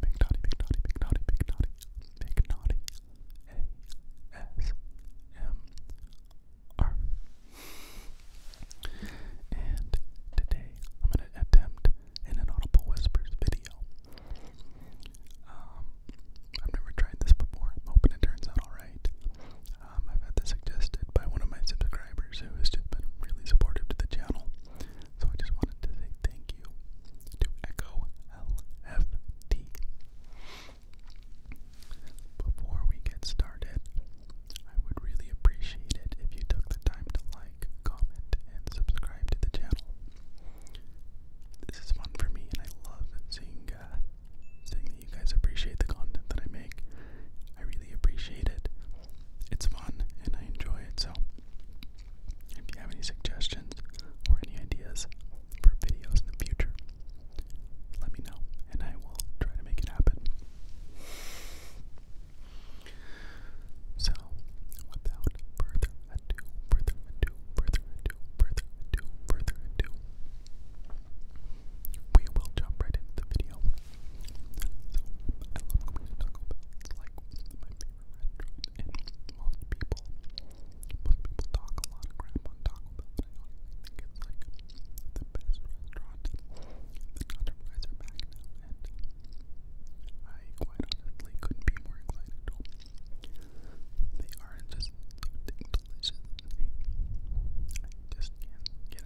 Big Naughty, Big Naughty, Big Naughty, Big Naughty, Big Naughty, A-S-M-R. And today I'm going to attempt an Inaudible Whispers video. Um, I've never tried this before. I'm hoping it turns out alright. Um, I've had this suggested by one of my subscribers subscribers who has just been really supportive to the channel. So I just wanted to say thank you to Echo LFT. Before we get started, I would really appreciate it if you took the time to like, comment, and subscribe to the channel. This is fun for me, and I love seeing uh, seeing that you guys appreciate the content that I make. I really appreciate it it's fun and I enjoy it. So, if you have any suggestions or any ideas for videos in the future, let me know and I will try to make it happen. So, without further ado, further ado, further ado, further ado, further ado, we will jump right into the video. I love going to It's like my favorite And most people, most people talk a lot of crap on Taco I think it's like the best restaurant. The Nutterflies are back now, and I quite honestly couldn't be more excited. They are just delicious. I just can't get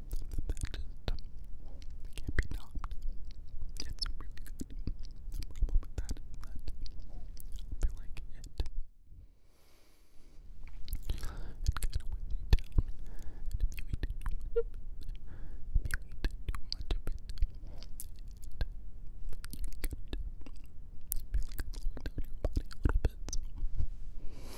that can't be topped. It's really problem with that feel like it it kind of weighs you down. And if you eat too much of it, if you eat too much of it, it you kind of feel like slowing down your body a little bit. So.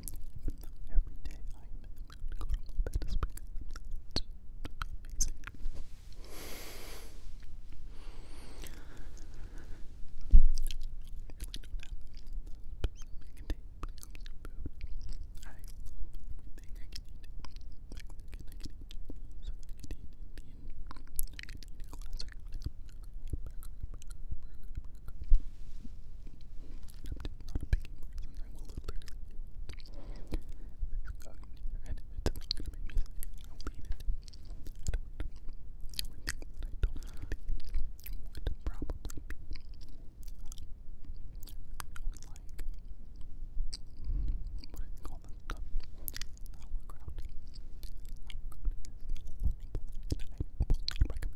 Every day I am going to go to my bed to sleep. It's amazing. I love everything I can eat. So I can eat Indian, I can eat a classic, like a burger, burger, burger, burger. I'm just not a picky person. I will literally and if it's not gonna make I will eat it. I don't I don't like to eat like what do you call that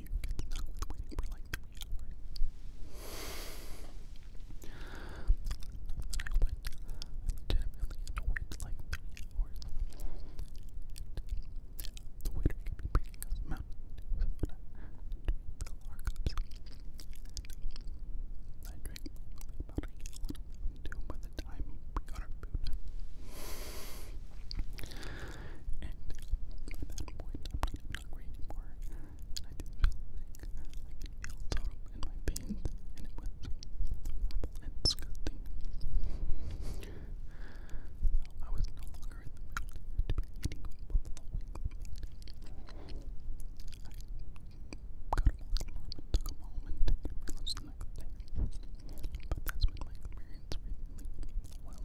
you get stuck with waiting for like three hours. I went legitimately annoyed like three hours. And the waiter could be bringing us mountain dew soda to fill our cups. I drank a gallon of mountain dew by the time got our food hungry anymore, I didn't feel sick. I could feel totem in my veins, it was horrible and disgusting. I was no longer in the mood to be eating I got them all took them home and relapsed the But that my experience with wild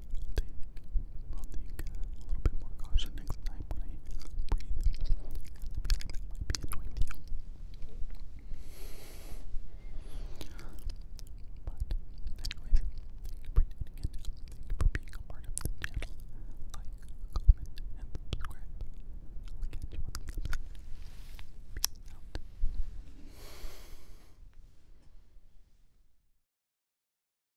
I'll take, a little bit more caution next time when I breathe. I feel like that might be annoying to you. But, anyways, thank you for being a part of this channel. Like, comment, and subscribe. I'll catch you on the flip